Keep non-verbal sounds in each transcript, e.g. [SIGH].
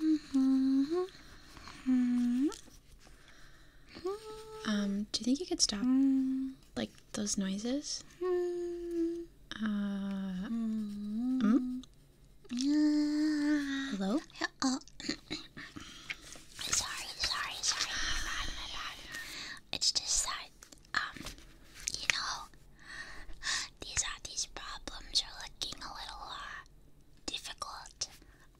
Mm-hmm. Um, do you think you could stop like those noises? Mm-hmm. Uh, mm? Hello? Oh. sorry, sorry, sorry. My bad, my bad. It's just that, um, you know, these, uh, these problems are looking a little, uh, difficult.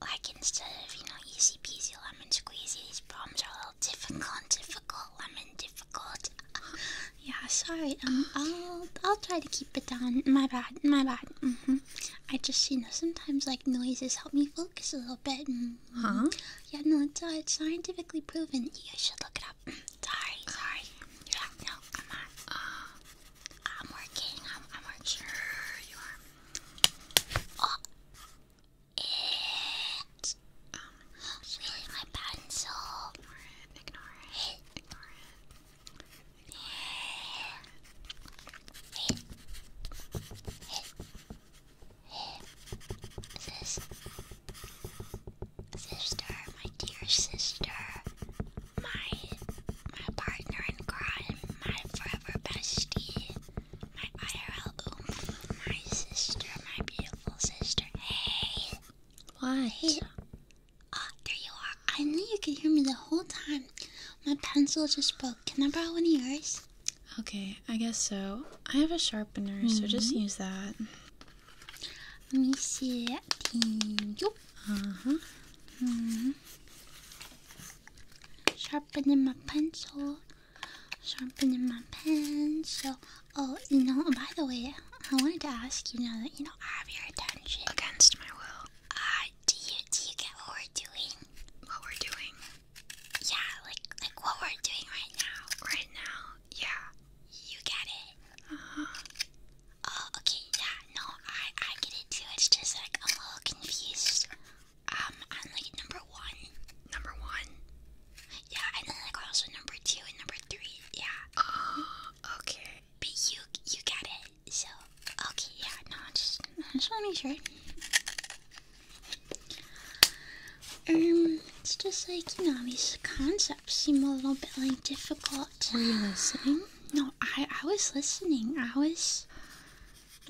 Like instead of, you know, easy peasy lemon squeezy, these problems are a little difficult, difficult, lemon difficult. [SIGHS] yeah, sorry. Um, I'll I'll try to keep it down. My bad, my bad. Mm -hmm. I just, you know, sometimes like noises help me focus a little bit. Mm-hmm. Huh? Yeah, no, it's, uh, it's scientifically proven. You should look it up. [CLEARS THROAT] sorry, sorry. Yeah, no, come on. Uh, I'm working. I'm, I'm working. you are. Oh, it. Um, really, my pencil. Ignore it. Ignore it. Ignore it. Ignore it. it. Sister, my dear sister my my partner in crime, my forever bestie, my IRL oomph, my sister, my beautiful sister. Hey, what? Hey. Oh, there you are. I knew you could hear me the whole time. My pencil just broke. Can I borrow one of yours? Okay, I guess so. I have a sharpener, so just mm-hmm. use that. Let me see. Thank Uh huh. -hmm. Sharpening my pencil. Sharpening my pencil. Oh, you know, by the way, I wanted to ask you now that you know I have your attention. Against my will. Ah, do you do you get what we're doing? What we're doing? Yeah, like like what we're doing right now. Right now, yeah. You get it. Uh-huh. Oh, okay, yeah, no, I I get it too. It's just like I'm a little confused. Um, on like number one, number one, yeah, and then like also number two and number three, yeah. Oh, [GASPS] okay. But you you got it. So okay, yeah, no, just I just want to make sure. Um, it's just like you know these concepts seem a little bit like difficult. Were you listening? No, I I was listening. I was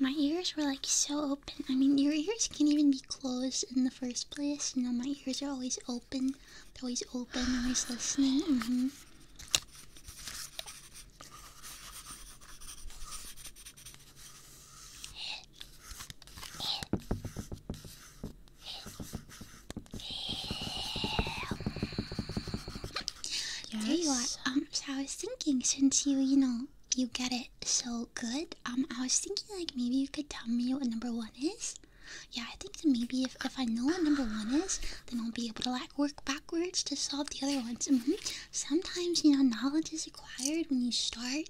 my ears were like so open. I mean, your ears can even be closed in the first place. You know, my ears are always open. They're always open. Always listening. There you are. Um, so I was thinking, since you, you know, you get it so good, um, I was thinking like maybe you could tell me what number one is. Yeah, I think that maybe if, if I know what number one is, then I'll be able to like work backwards to solve the other ones. Mm-hmm. Sometimes, you know, knowledge is acquired when you start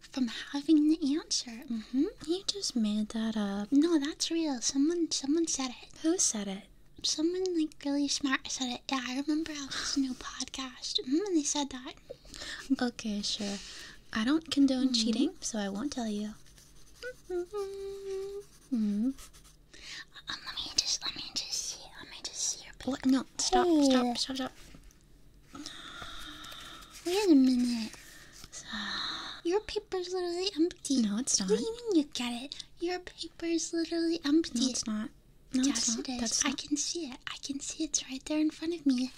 from having the answer. Mm-hmm. You just made that up. No, that's real. Someone someone said it. Who said it? someone like really smart said it. Yeah, I remember I was listening to a podcast mm, and they said that. Okay, sure. I don't condone mm-hmm. cheating, so I won't tell you. -hmm. let me just, let me just see, let me just see your. What? No! Stop! Stop! Stop! Stop! Wait a minute. Your paper's literally. i empty. No, it's not. What you mean you get it? Your paper is literally empty. No, it's not. No, it's not. it is. That's I can see it. I can see it's right there in front of me.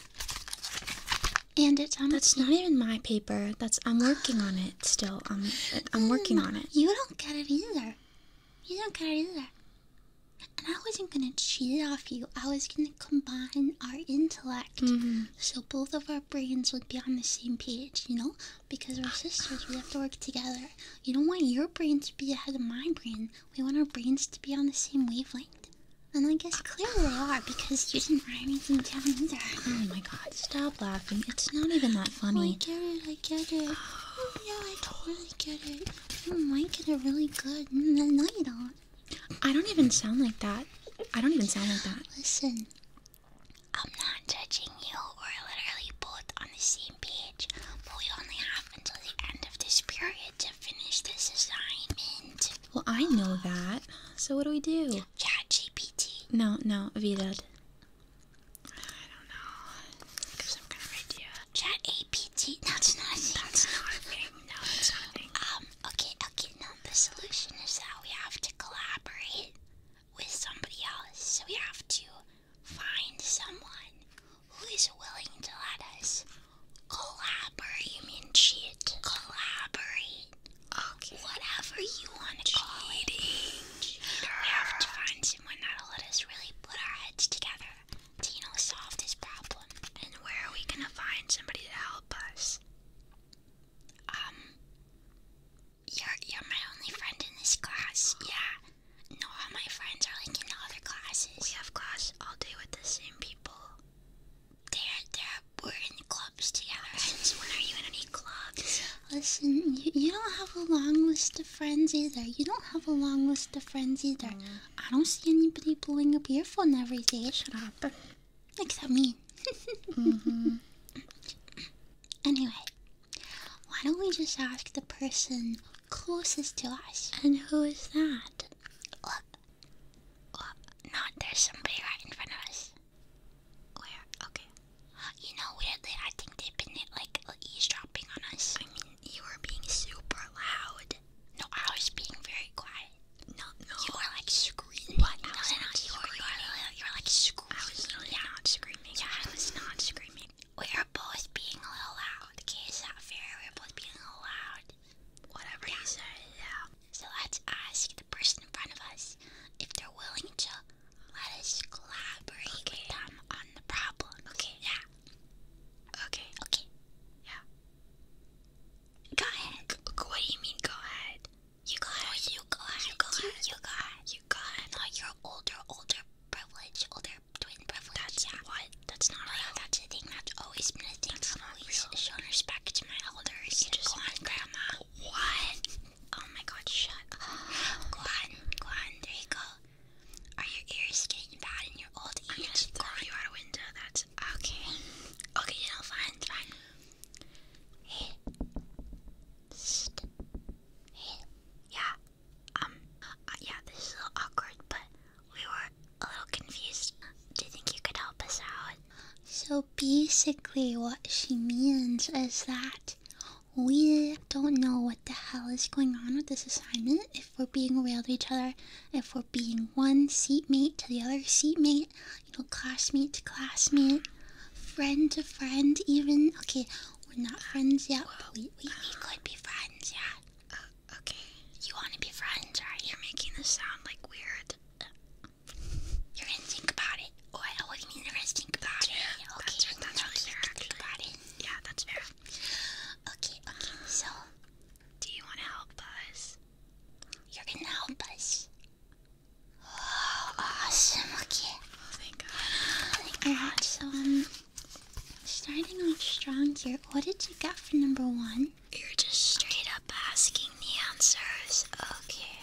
And it's empty. That's not even my paper. That's I'm working on it still. I'm I'm working on it. You don't get it either. You don't get it either. And I wasn't gonna cheat off you. I was gonna combine our intellect, mm-hmm. so both of our brains would be on the same page. You know, because we're sisters. We have to work together. You don't want your brain to be ahead of my brain. We want our brains to be on the same wavelength. And I guess clearly they are because you didn't write anything down either. Oh my god, stop laughing. It's not even that funny. I get it, I get it. Oh, [SIGHS] yeah, I totally get it. You might get it really good. Mm, no, you don't. I don't even sound like that. I don't even sound like that. Listen, I'm not judging you. or literally both on the same page, but we only have until the end of this period to finish this assignment. Well, I know that. So what do we do? Chat GPT. No, no, Vidad. I don't know. Think of some kind idea. Chat APT. [LAUGHS] That's not a thing. That's not No, that's not Um. Okay. Okay. No. The solution is that we have to collaborate with somebody else. So we have to find someone who is willing to let us collaborate. You mean cheat? Collaborate. Okay. Whatever you want to call it. We have to find someone that'll let us really put our heads together to, you know, solve this problem. And where are we gonna find somebody to help us? Um, you're you're my only friend in this class. Yeah. No, all my friends are like in other classes. We have class all day with the same people. They're they're we're in clubs together. [LAUGHS] Since when are you in any clubs? Listen, you, you don't have a long list of friends either. You don't have a long list of friends either. Mm. I don't see anybody blowing up your phone every day. should happen. Except me. [LAUGHS] mm -hmm. Anyway, why don't we just ask the person closest to us? And who is that? Look. there's somebody right in front of us. Where? Okay. You know, weirdly, I think they've been like eavesdropping on us. I mean, you were being super loud. No, I was being very quiet. No, no. You were like screaming. No, no, You were, you, were, you were like screaming. I was not screaming. Yeah, I was not screaming. We are both being a little loud. Okay, it's not fair. We're both being a little loud. Whatever you say, So let's ask the person in front of us if they're willing to let us collaborate them on the problem. Okay. Yeah. Okay. Okay. Yeah. Go ahead. what do you mean go ahead? You go ahead. You go ahead. You go ahead. You go ahead you your older, older privilege, older twin privilege. That's yeah. what? That's not that's the thing. That's always been a thing. That's I've always real. shown respect to my elders. just go Grandma. What? Oh my God! Shut up. [GASPS] Go There you go. Are your ears getting bad in your old age? I'm throw you out a window. That's okay. Okay, you know, fine, fine. Hey. Psst. Hey. Yeah. Um, uh, yeah, this is a little awkward, but we were a little confused. Do you think you could help us out? So basically, what she means is that we don't know what the hell is going on with this assignment. If we're being real to each other, if we're being one seatmate to the other seatmate, you know, classmate to classmate, friend to friend, even. Okay, we're not friends yet. Well, we, we, could be friends, yeah. Uh, okay. You want to be friends, right? You're making this sound like weird. you're gonna think about it. Oh, what? What do you mean you're gonna think about yeah, it? Okay, that's really fair. Think about it. Yeah, that's fair. Okay, okay. So, do you want to help us? You're gonna help us. Oh, [GASPS] awesome. Okay. Oh, thank God. Thank God. So um. Starting off strong here, what did you get for number one? You're just straight up asking the answers. Okay.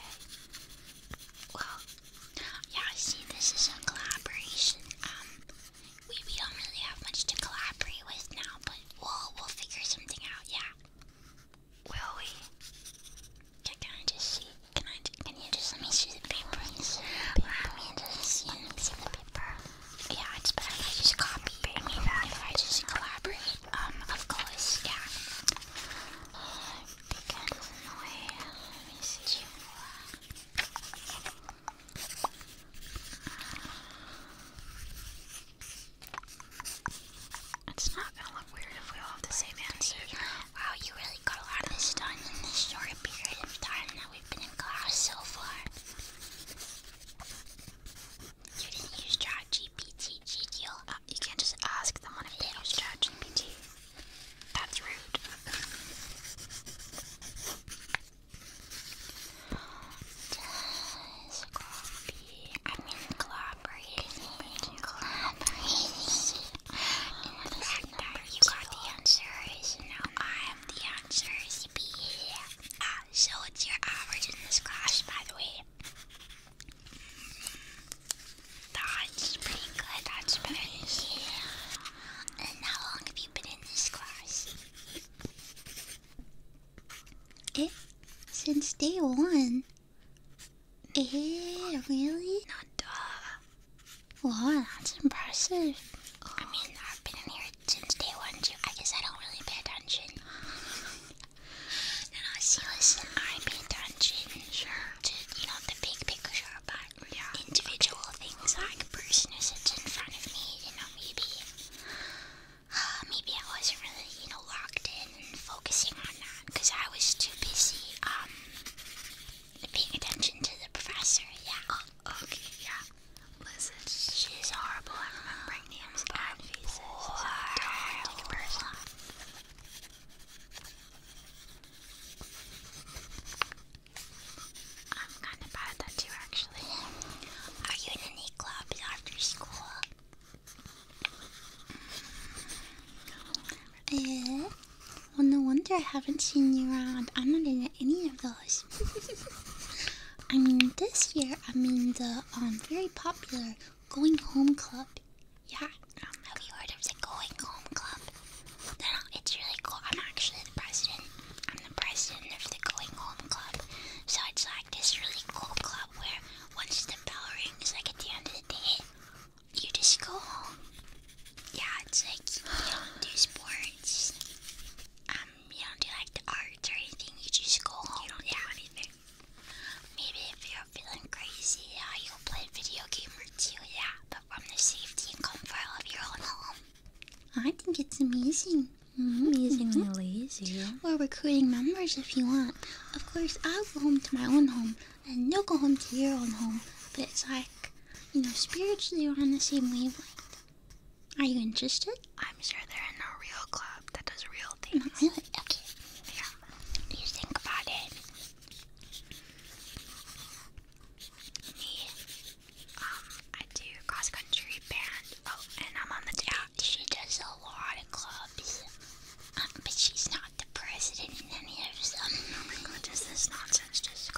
Well, yeah, see, this is a collaboration. Um, we, we don't really have much to collaborate with now, but we'll, we'll figure something out, yeah. Will we? Can, I just see? Can I can you just let me see the paper? Let me just see, see the paper. Yeah, it's better if I just copy. if I just collaborate. Um, of course, yeah. Uh, Big away. Let me see. It's not gonna look weird if we all have the same answer. Wow, you really got a lot of this done in this short period of time we've been in class so far. You didn't use ChatGPT, uh, you? can't just ask them if they use ChatGPT. That's rude. I mean In fact the answers, am the answers. Yeah. Uh, so what's your average in this class, by the way? That's pretty good. That's pretty yeah. And how long have you been in this class? It eh? since day one. Eh, really? Wow, that's impressive. I mean, I've been in here since day one, too. I guess I don't really pay attention. No, no, see, listen, I pay attention sure. to, you know, the big picture, but individual things like a person who sits in front of me, you know, maybe, uh, maybe I wasn't really, you know, locked in and focusing on that because I was too busy, um, paying attention to the professor, yeah. Oh, okay, yeah. Listen, she's horrible at remembering names and faces. So do I'm kind of bad that too, actually. Are you in any clubs after school? Yeah. Well, no wonder I haven't seen you around. I'm not in any of those. [LAUGHS] I mean, this year, I am in the um, very popular Going Home Club. Yeah, um, have you heard of the Going Home Club? no, it's really cool. I'm actually the president. I'm the president of the Going Home Club. So it's like this really cool club where once the bell rings, like at the end of the day, you just go home yeah, it's like you don't do sports. Um, you don't do like the arts or anything. You just go home. You don't do anything. Maybe if you're feeling crazy, yeah, uh, you'll play video game or two. Yeah, but from the safety and comfort of your own home. I think it's amazing. Mm-hmm. Amazingly mm -hmm. We're recruiting members if you want. Of course, I'll go home to my own home, and you'll go home to your own home. But it's like, you know, spiritually we're on the same wavelength. Are you interested? I'm sure they're in real club that does real things. really? Okay. Yeah. You think about it. Me, um, I do cross country band. Oh, and I'm on the tap. she does a lot of clubs, um, but she's not the president in any of them. Oh my this not sensitive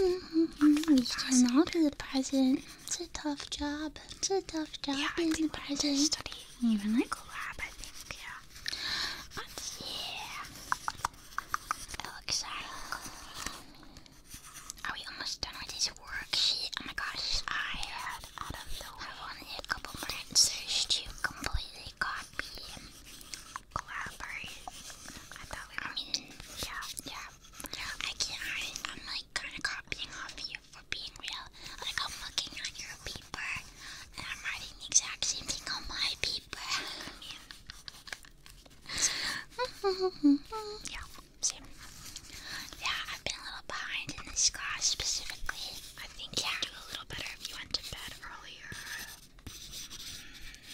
We cannot be the president. It's a tough job. It's a tough job yeah, being the president. Study even like a lab, I think. Yeah. But, yeah. It looks like. Are we almost done with this worksheet? Oh my gosh, I had out of the way. I wanted a couple minutes to completely copy collaborate. I thought we were. yeah, yeah, I can't. I, I'm like kind of copying off you for being real. Like I'm looking on your paper, and I'm writing the exact same thing on my paper. [LAUGHS] [LAUGHS] yeah, same. Yeah, I've been a little behind in this class specifically. I think yeah. do a little better if you went to bed earlier.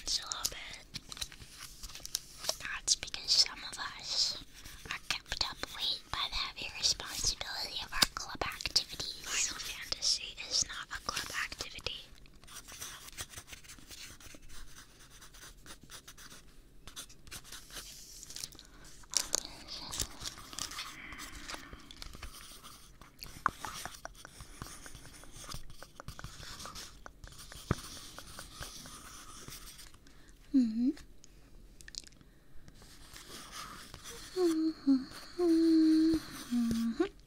It's a little bit. That's because some of us are kept up late by the heavy responsibility of our club activities. Final Fantasy is not a club activity. [LAUGHS] Mm -hmm.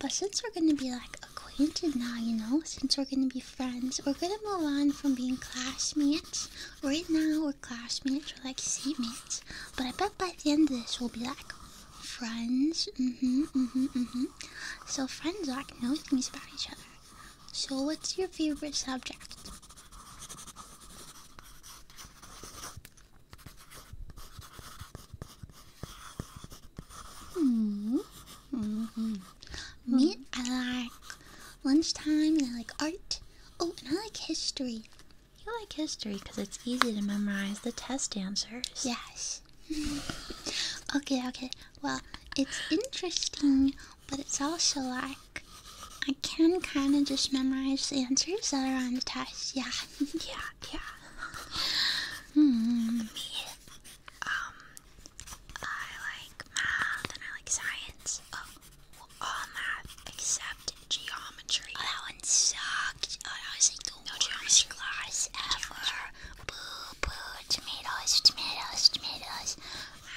But since we're gonna be like acquainted now, you know, since we're gonna be friends, we're gonna move on from being classmates. Right now, we're classmates, we're like seatmates. But I bet by the end of this, we'll be like friends. Mm hmm, mm hmm, mm hmm. So friends like to things about each other. So what's your favorite subject? -hmm. -hmm. hmm. Me, I like lunchtime and I like art. Oh, and I like history. You like history because it's easy to memorize the test answers. Yes. [LAUGHS] okay, okay. Well, it's interesting, but it's also like I can kind of just memorize the answers that are on the test. Yeah, [LAUGHS] yeah, yeah. Hmm. Me, um, I like math and I like science. Oh, all math except geometry. Oh, that one sucked. Oh, that was like the worst geometry. class ever. Boo, boo, tomatoes, tomatoes, tomatoes.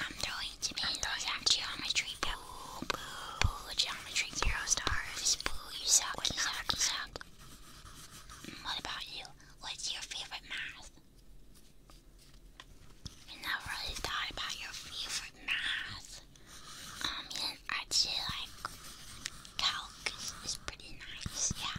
I'm throwing tomatoes at geometry. Boo, boo, geometry, zero stars. Boo, you suck, you suck, you suck. What about you? What's your favorite math? I never really thought about your favorite math. Um, yeah, actually, like, calc is, pretty nice, yeah.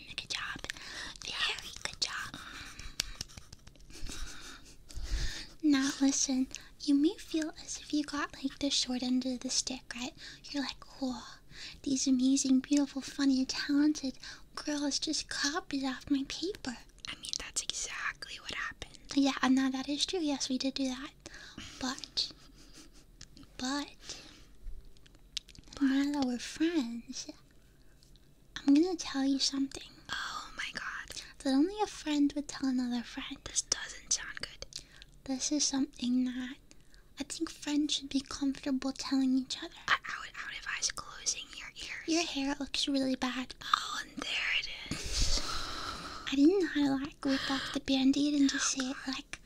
good job. Very good job. now listen, you may feel as if you got like the short end of the stick, right? You're like, whoa, these amazing, beautiful, funny, talented girls just copied off my paper. I mean, that's exactly what happened. Yeah, and now that is true. Yes, we did do that. But, but, but. now that we're friends, I'm gonna tell you something. Oh my god. That only a friend would tell another friend. This doesn't sound good. This is something that I think friends should be comfortable telling each other. I, I, would, I would advise closing your ears. Your hair looks really bad. Oh, there it is. I didn't know how to like rip off the band aid and just say it like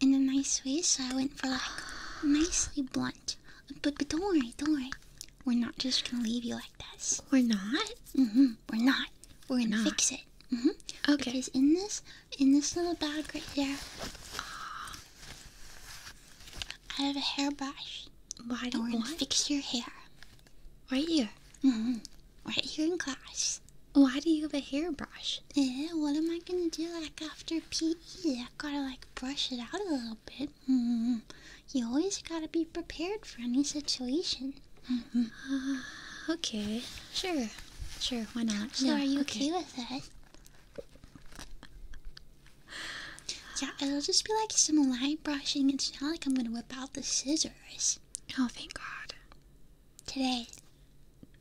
in a nice way, so I went for like [SIGHS] nicely blunt. But but don't worry, don't worry. We're not just gonna leave you like this. We're not. hmm We're not. We're gonna not. fix it. hmm Okay. Because in this, in this little bag right here, I have a hairbrush. Why don't to fix your hair? Right here. hmm Right here in class. Why do you have a hairbrush? Yeah, what am I gonna do like after PE? I gotta like brush it out a little bit. Hmm. you always gotta be prepared for any situation. Mm-hmm. Uh, okay, sure, sure. Why not? So, are you okay, with that? Yeah, it'll just be like some line brushing. It's not like I'm gonna whip out the scissors. Oh, thank God. Today.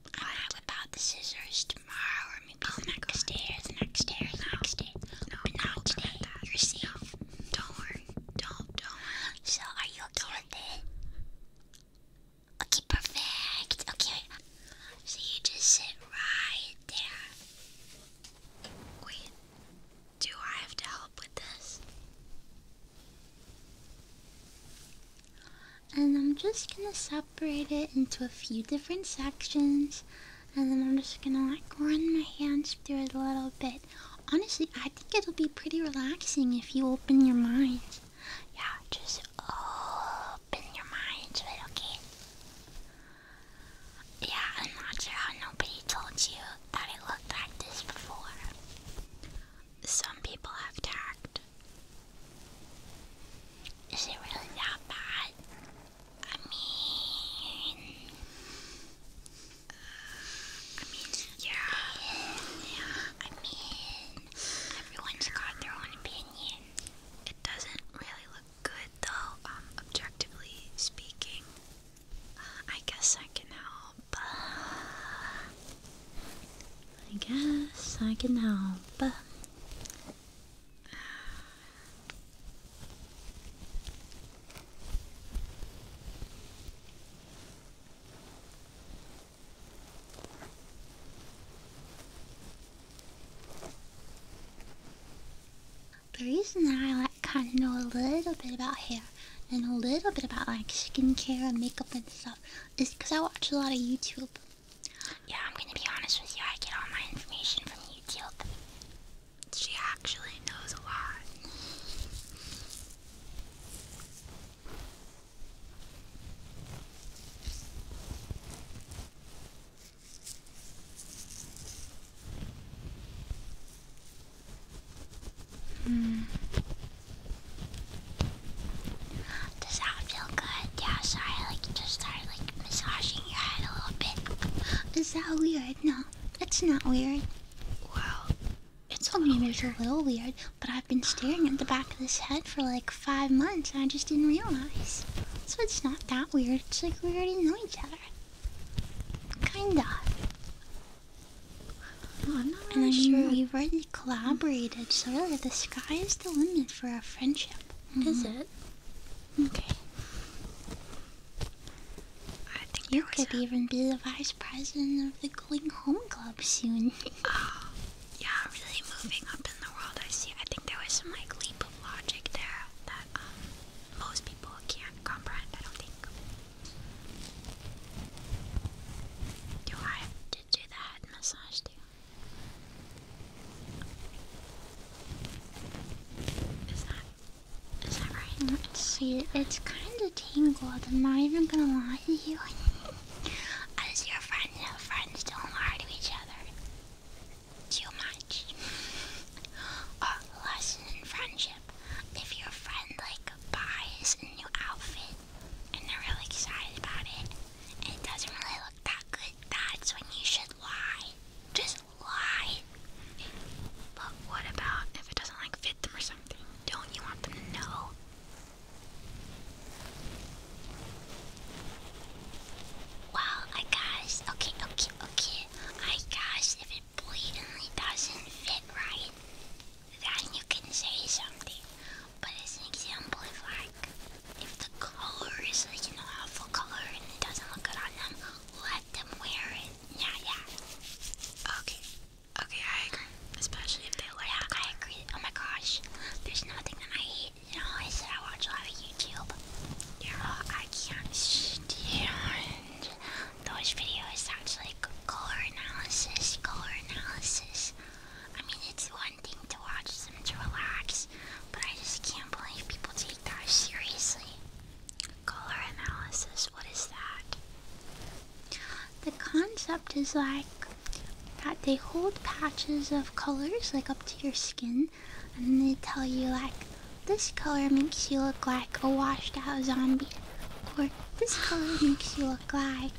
I'm gonna whip out the scissors tomorrow or me to oh the stairs, next stairs, next stairs. but now today, you're safe. Don't worry. Don't, don't So, are you okay Okay, perfect. Okay. So you just sit right there. Wait. Do I have to help with this? And I'm just gonna separate it into a few different sections and then I'm just gonna like run my hands through it a little bit. Honestly, I think it'll be pretty relaxing if you open your mind. Yeah, just open your minds, right? Okay. Yeah, I'm not sure how nobody told you that it looked like this before. Some people have tagged. Is it really that bad? I mean, I mean, yeah, I mean, everyone's got their own opinion. It doesn't really look good, though. Um, objectively speaking, I guess I can help. I guess I can help. The reason that I like kind of know a little bit about hair and a little bit about like skincare and makeup and stuff is because I watch a lot of YouTube. Yeah, I'm gonna be honest with you. I get all my information from YouTube she actually knows a lot. Hmm. Does that feel good? Yeah, sorry, like just started like massaging your head a little bit. Is that weird? No, that's not weird. Well, it's only I it's a little weird, but I've been staring at the back of this head for like five months and I just didn't realize. So it's not that weird. It's like we already know each other. Kinda. Well, I'm not I mean, sure. We've already collaborated, so really the sky is the limit for our friendship. Mm-hmm. Is it? Okay. I think you could even be the vice president of the Going Home Club soon. oh, [LAUGHS] yeah, really moving up in the world. I see. I think there was some like leap of logic there that um, most people can't comprehend. I don't think. Do I have to do the head massage too? Is that Let's see. It's kind of tangled. I'm not even gonna lie to you. [LAUGHS] As your friend, no friends don't lie to each other. Too much. [LAUGHS] A lesson in friendship. If your friend like buys a new outfit and they're really excited about it, and it doesn't really look that good, that's when you should lie. Just why? But what about if it doesn't like fit them or something? Don't you want them to know? Wow, I guess. Okay, okay, okay. I guess if it blatantly doesn't fit right, then you can say something. But as an example, if like, if the color is like an awful color and it doesn't look good on them, let them wear it. Yeah, yeah. Okay. Okay, I agree. Especially if they like yeah, I agree. Oh my gosh. There's nothing that I hate. You I said I watch a lot of YouTube. Yeah. Oh, I can't stand those videos that's like color analysis, color analysis. I mean, it's one thing to watch them to relax, but I just can't believe people take that seriously. Color analysis, what is that? The concept is like that they hold patches of colors like up to your skin and they tell you like this color makes you look like a washed out zombie or this color makes you look like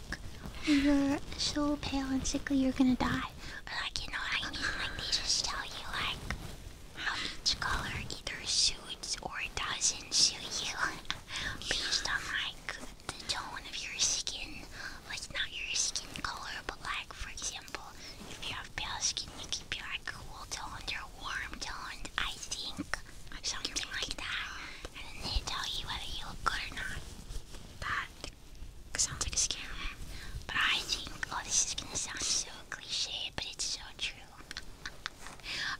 you're so pale and sickly you're gonna die. Or like you know what I mean? Like they just tell you like how each color either suits or doesn't suit you [LAUGHS] based on like the tone of your skin. Like not your skin color, but like for example, if you have pale skin, you can be like cool tone or warm tone. I think something like that, and then they tell you whether you look good or not. That sounds like a scam. But I think, oh, this is gonna sound so cliche, but it's so true.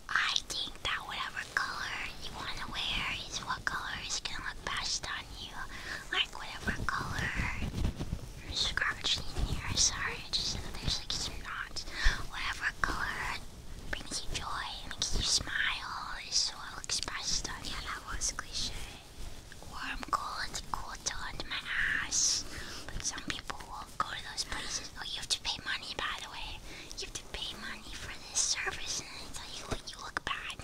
I think that whatever color you want to wear is what color is going to look best on you. Like whatever color. I'm scratching here, sorry. Just there's like some knots. Whatever color brings you joy and makes you smile is what looks best on you. Yeah, that was cliche. Warm, cold, cool toned my ass. But some people go to those places. Oh, you have to pay money, by the way. You have to pay money for this service, and they tell you when you look bad.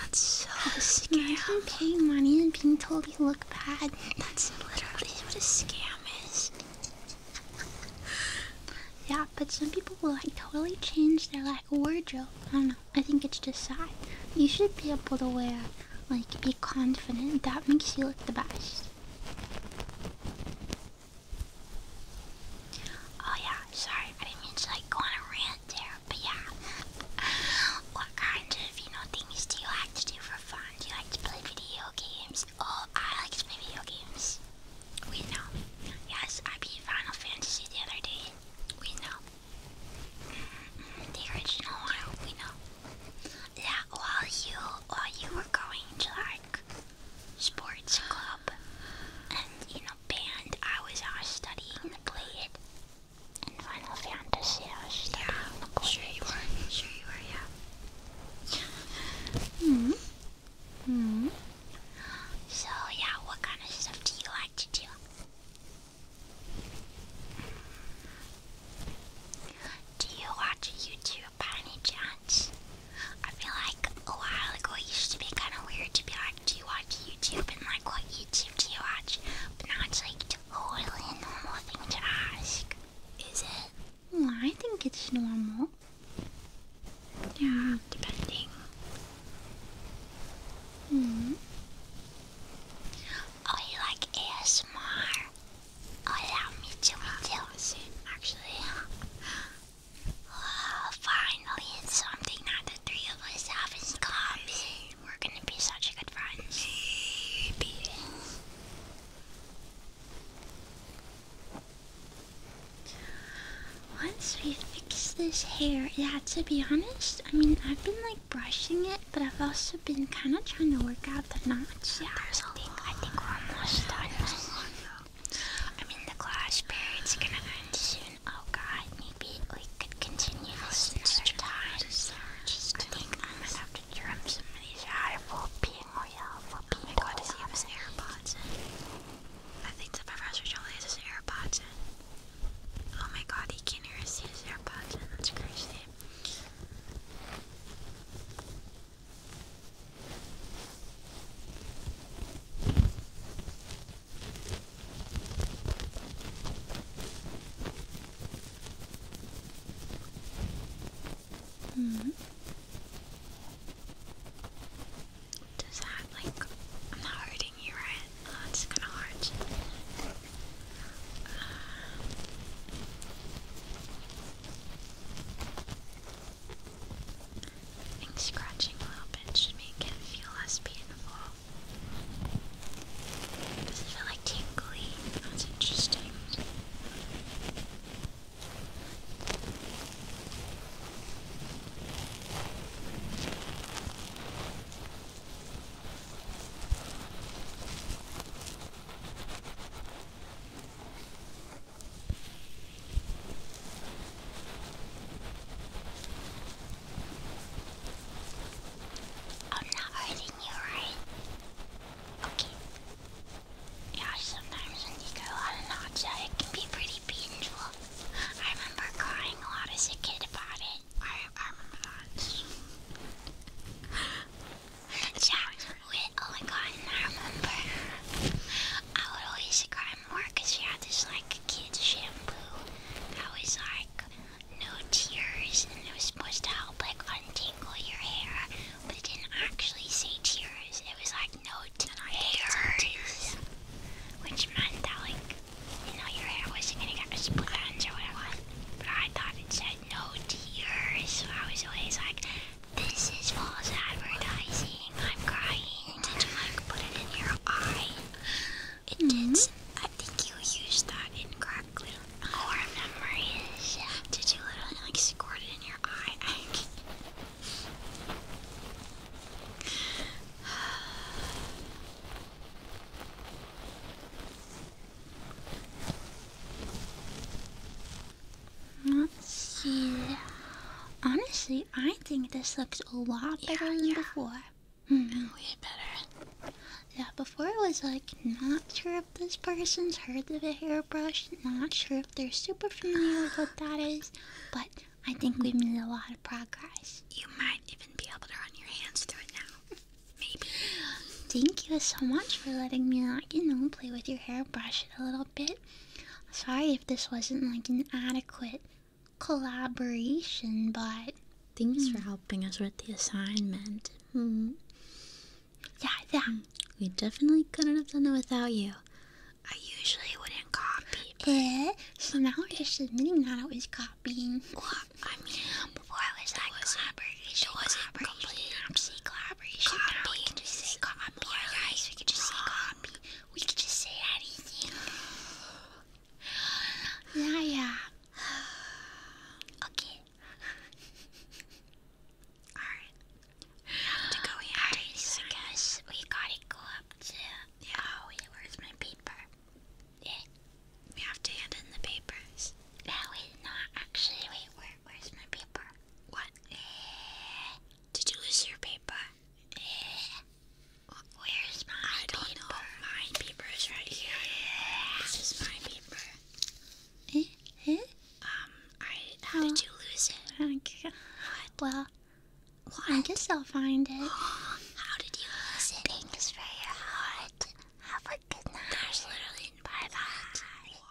That's so [LAUGHS] scam. Imagine paying money and being told you look bad. That's literally what a scam is. yeah, but some people will like totally change their like wardrobe. I don't know. I think it's just sad. You should be able to wear, like, be confident. That makes you look the best. Oh yeah, sorry, I didn't mean to like go on a rant there, but yeah. [LAUGHS] what kind of, you know, things do you like to do for fun? Do you like to play video games? Oh, I like to play video games. We know. Yes, I beat Final Fantasy the other day. We know. Mm-hmm. the original one, we know. Yeah, while you while you were going to like sports club and in a band, I was studying the blade and Final Fantasy. I was studying yeah, the blade. Sure you were. Sure you are. Yeah. hmm. hmm. So yeah, what kind of stuff do you like to do? Do you watch YouTube by any chance? I feel like a while ago it used to be kind of weird to be like, do you watch YouTube? And like, what YouTube do you watch? But now it's like totally a normal thing to ask. Is it? Well, hmm, I think it's normal. Yeah, depending. hmm. Oh, you like ASMR? Oh yeah, me too, me actually. Oh, finally, it's something that the three of us have in common. We're gonna be such good friends. Maybe. Once we fix this hair, yeah, to be honest, I mean, I've been like brushing it, but I've also been kind of trying to work out the knot. There's I think we're almost done. I mean, the glass period's gonna end soon. Oh god, maybe we could continue this another time. I think I might have to drum some of these out for being real, for being Oh does he have his AirPods I think the Professor Jolly has his AirPods in. Oh my god, he can't hear us. He AirPods in. That's crazy. Mm -hmm. Does that like I'm not hurting you, right? Oh, it's gonna I think scratching a little bit should make it feel less painful. Does it feel like tingly? That's interesting. I'm not hurting you, right? Okay. Yeah, sometimes when you get a lot of it can be pretty painful. I remember crying a lot as a kid about it. I, I remember that. Shower wet. Oh my god, I remember I would always cry more because you had this like kid shampoo that was like no tears and it was supposed to help like untangle your hair, but it didn't actually say tears. It was like no tears, which meant that like you know your hair wasn't gonna get split ends or whatever. But I thought it said no tears, so I was always like. This is false advertising. I'm crying. Did you like put it in your eye? It did. Mm-hmm. I think you used that incorrectly. Our memory is. Did you literally like squirt it in your eye? [LAUGHS] Let's see. Honestly, I think this looks a lot better yeah, than yeah. before. Mm -hmm. better. Yeah, before it was like not sure if this person's heard of a hairbrush, not sure if they're super familiar with what that is, but I think we made a lot of progress. You might even be able to run your hands through it now. Maybe. Thank you so much for letting me, like, you know, play with your hairbrush a little bit. Sorry if this wasn't like an adequate collaboration, but thanks for hmm. helping us with the assignment. Hmm. Yeah, yeah. Hmm. We definitely couldn't have done it without you. I usually wouldn't copy. Yeah, so now we're just admitting that I was copying. I mean, before I was like, collaboration, it wasn't collaboration, collaboration. Copy. We can just say copy, guys. We can just wrong. say copy. We can just say anything. [SIGHS] yeah, yeah. [SIGHS] Okay. [LAUGHS] Alright. We have to go in right, so I guess we gotta go up to. Yeah. Oh, wait, where's my paper? Yeah. We have to hand in the papers. No, wait, not actually. Wait, where, where's my paper? What? Eh. did you lose your paper? Eh. where's my I paper? Don't know. My paper is right here. Yeah. This is my paper. Eh? Eh? Um, I. How did oh. you lose it? Well, I guess I'll find it. [GASPS] How did you lose it? Thanks for your heart. Have a good night. There's literally by